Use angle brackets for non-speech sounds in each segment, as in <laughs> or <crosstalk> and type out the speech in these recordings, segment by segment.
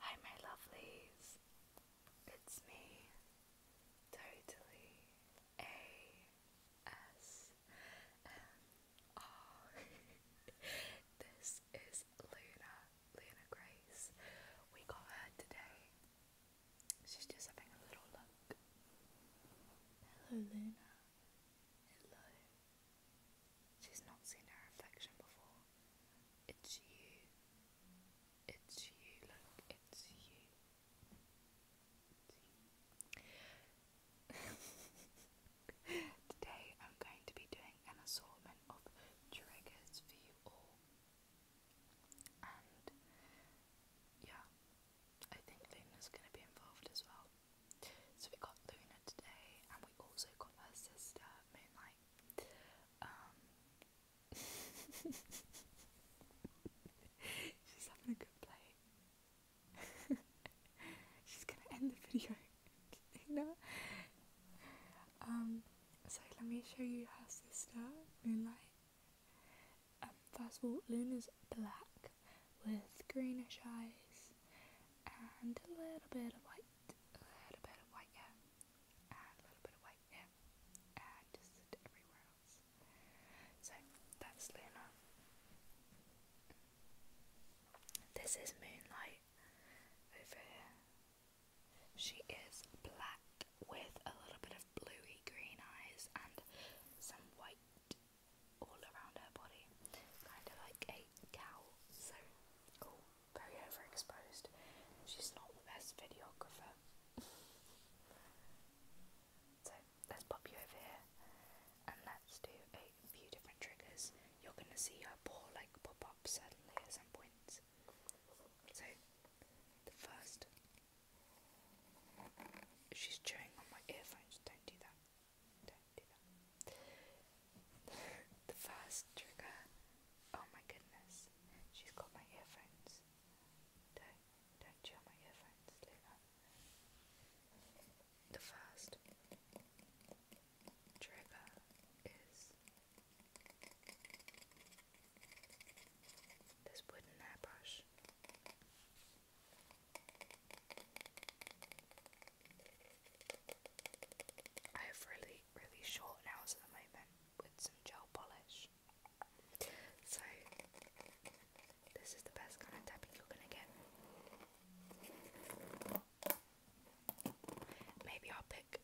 Hi, my lovelies. It's me, totally ASMR. <laughs> this is Luna, Luna Grace. We got her today. She's just having a little look. Hello, Luna. Hello. She's not seen her reflection before. It's you. It's you, look, it's you. <laughs> Today I'm going to be doing an assortment of triggers for you all. And yeah, I think Luna's going to be involved as well. So we got Luna today, and we also got her sister Moonlight. Um, <laughs> she's having a good play. <laughs> she's gonna end the video. <laughs> no. Um, so let me show you her sister, Moonlight. Um, first of all, Luna's black with greenish eyes and a little bit of white, a little bit of white, yeah, and a little bit of white, yeah, and just everywhere So that's Luna. This is Moonlight over She is black with a little bit of bluey green eyes and some white all around her body, kind of like a white so very overexposed. She's not the best videographer. <laughs> so let's pop you over here and let's do a few different triggers. You're gonna see her paw like pop up suddenly at some points. So the first she's chewing on my earphones, don't do that the first trigger. Oh my goodness. She's got my earphones. Don't don't chew my earphones, The first trigger is this wooden airbrush. I have really, really short nails at the moment with some gel polish. So, this is the best kind of tapping you're gonna get. Maybe I'll pick,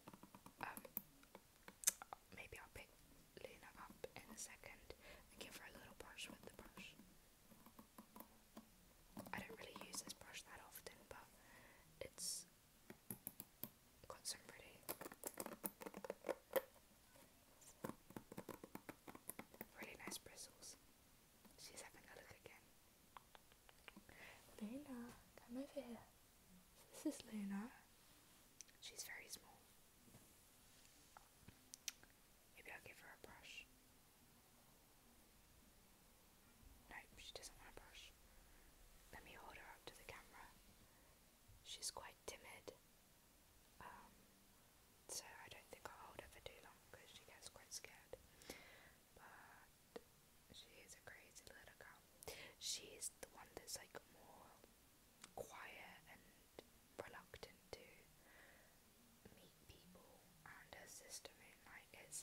um, maybe I'll pick Luna up in a second give her a little brush with the brush. I don't really use this brush that often, but it's got some pretty really nice bristles. She's having a look again. Luna, come over here. This is Luna. She's very small. Maybe I'll give her a brush. Nope, she doesn't want to brush. Let me hold her up to the camera. She's quite timid, um, so I don't think I'll hold her for too long because she gets quite scared. But she is a crazy little girl. She's the one that's like more quiet and reluctant to meet people, and her sister Moonlight is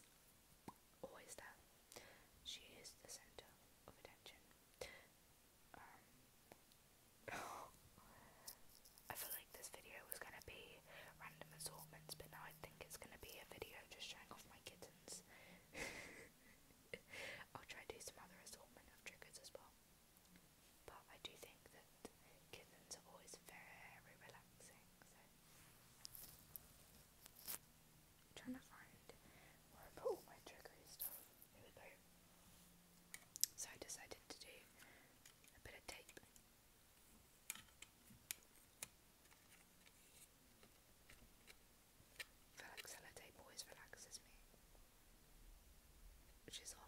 always there. She is the centre of attention. Um, <laughs> I feel like this video was gonna be random assortments, but now I think it's gonna be a video just showing off my kittens. <laughs> I'll try to do some other assortment of triggers as well. But I do think that kittens are always very relaxing, trying to find where I put all my trickery stuff. So I decided to do a bit of tape. I feel always relaxes me. Which is off.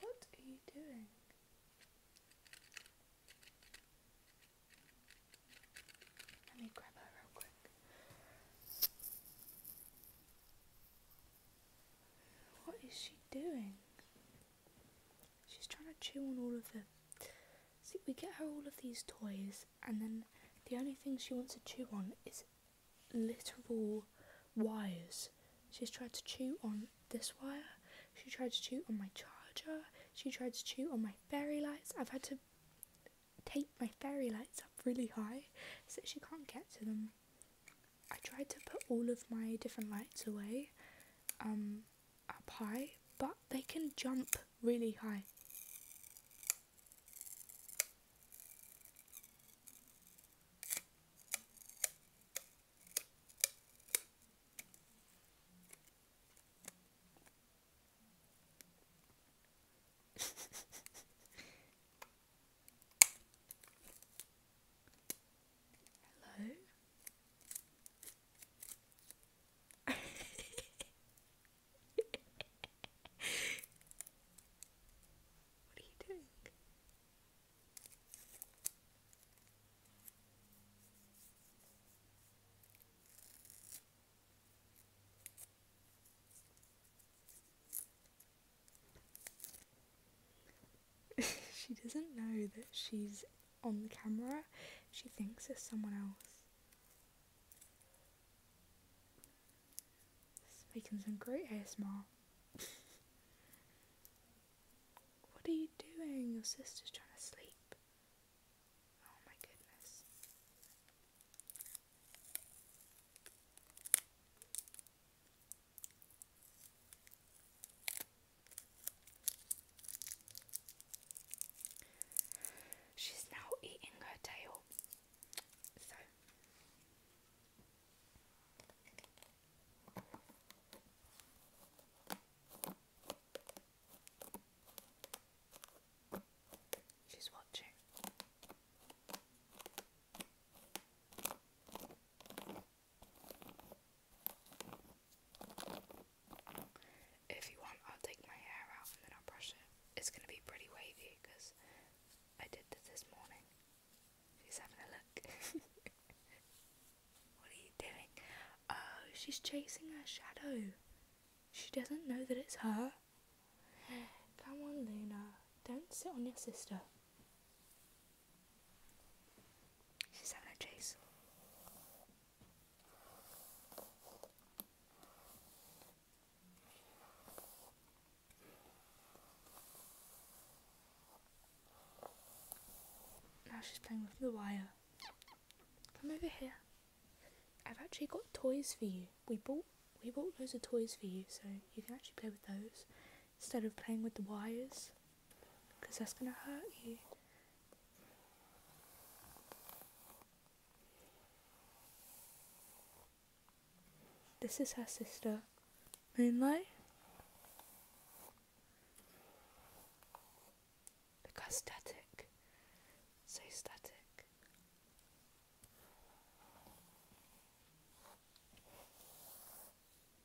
What are you doing? Let me grab her real quick. What is she doing? She's trying to chew on all of them. See, we get her all of these toys, and then the only thing she wants to chew on is literal wires. She's tried to chew on this wire, she tried to chew on my charger, she tried to chew on my fairy lights. I've had to tape my fairy lights up really high so she can't get to them. I tried to put all of my different lights away, um, up high, but they can jump really high. <laughs> Hello. <laughs> she doesn't know that she's on the camera, she thinks it's someone else. This is making some great ASMR. <laughs> what are you doing? Your sister's trying to sleep. Oh my goodness. She's now eating her tail. So she's watching. If you want, I'll take my hair out and then I'll brush it. It's gonna be pretty wavy because I did this this morning. She's having a look. <laughs> what are you doing? Oh, she's chasing her shadow. She doesn't know that it's her. Come on, Luna. Don't sit on your sister. She's Susanna Chase. Now she's playing with the wire. Come over here. I've actually got toys for you. We bought we bought loads of toys for you, so you can actually play with those instead of playing with the wires because that's going to hurt you. This is her sister, Moonlight. Look static, so static.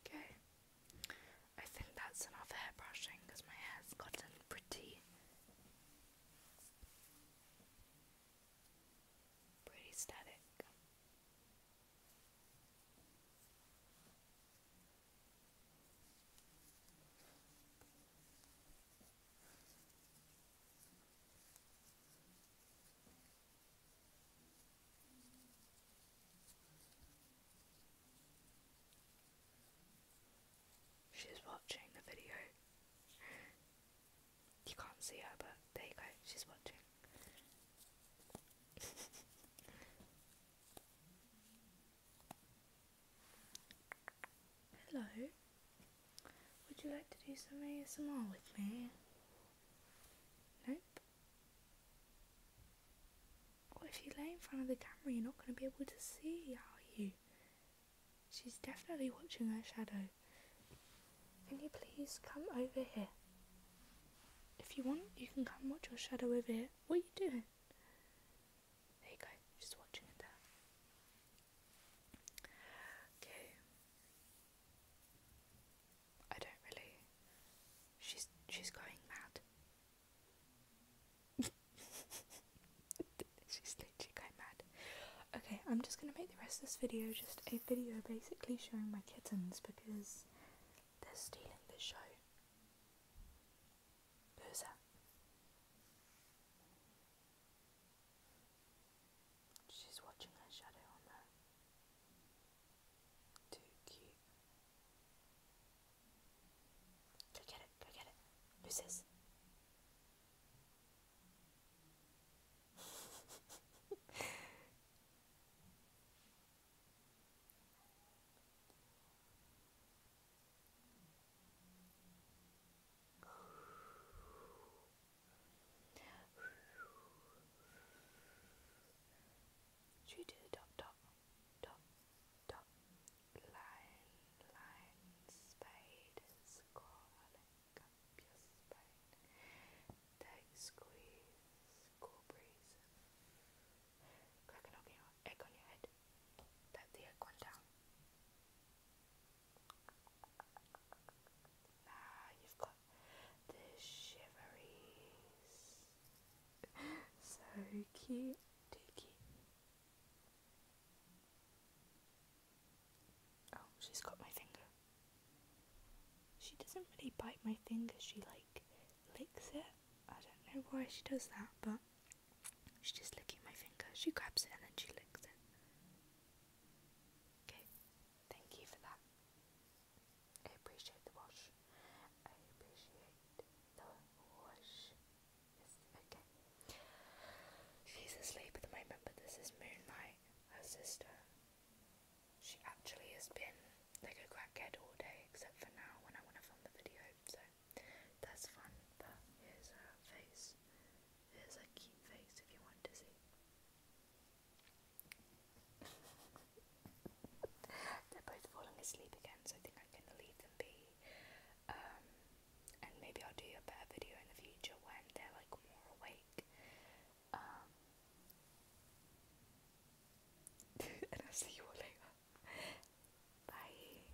Okay, I think that's enough hair brushing because my hair's gotten pretty, pretty static. She's watching the video. You can't see her, but there you go, she's watching. <laughs> Hello. Would you like to do some ASMR with me? Nope. What if you lay in front of the camera? You're not going to be able to see, are you? She's definitely watching her shadow. Can you please come over here? If you want, you can come watch your shadow over here. What are you doing? There you go, just watching it Okay. I don't really. She's she's going mad. <laughs> she's literally going mad. Okay, I'm just gonna make the rest of this video just a video basically showing my kittens because they're stealing the show. Who's She's watching her shadow on her. Too cute. Go get it, go get it. Who's this? <laughs> Should we do top, top, top, top, line, line, spade, spine, take, squeeze, cool breeze, crack an egg on your head, let the egg one down. Now you've got the shiveries. so cute, too cute. Oh, she's got my finger. She doesn't really bite my finger, she like licks it. I don't know why she does that, but she's just licking my finger. She grabs it and then she licks it. Okay, thank you for that. I appreciate the wash. I appreciate the wash. okay. She's asleep at the moment, but this is Moonlight, her sister. She actually has been like a crackhead all day, except for now when I want to film the video, so that's fun. here's her face. There's a cute face if you want to see. <laughs> They're both falling asleep again, so I think I'm gonna leave them be. Um, and maybe I'll do a better video in the future when they're like more awake. Um, <laughs> and I'll see you all later. Bye.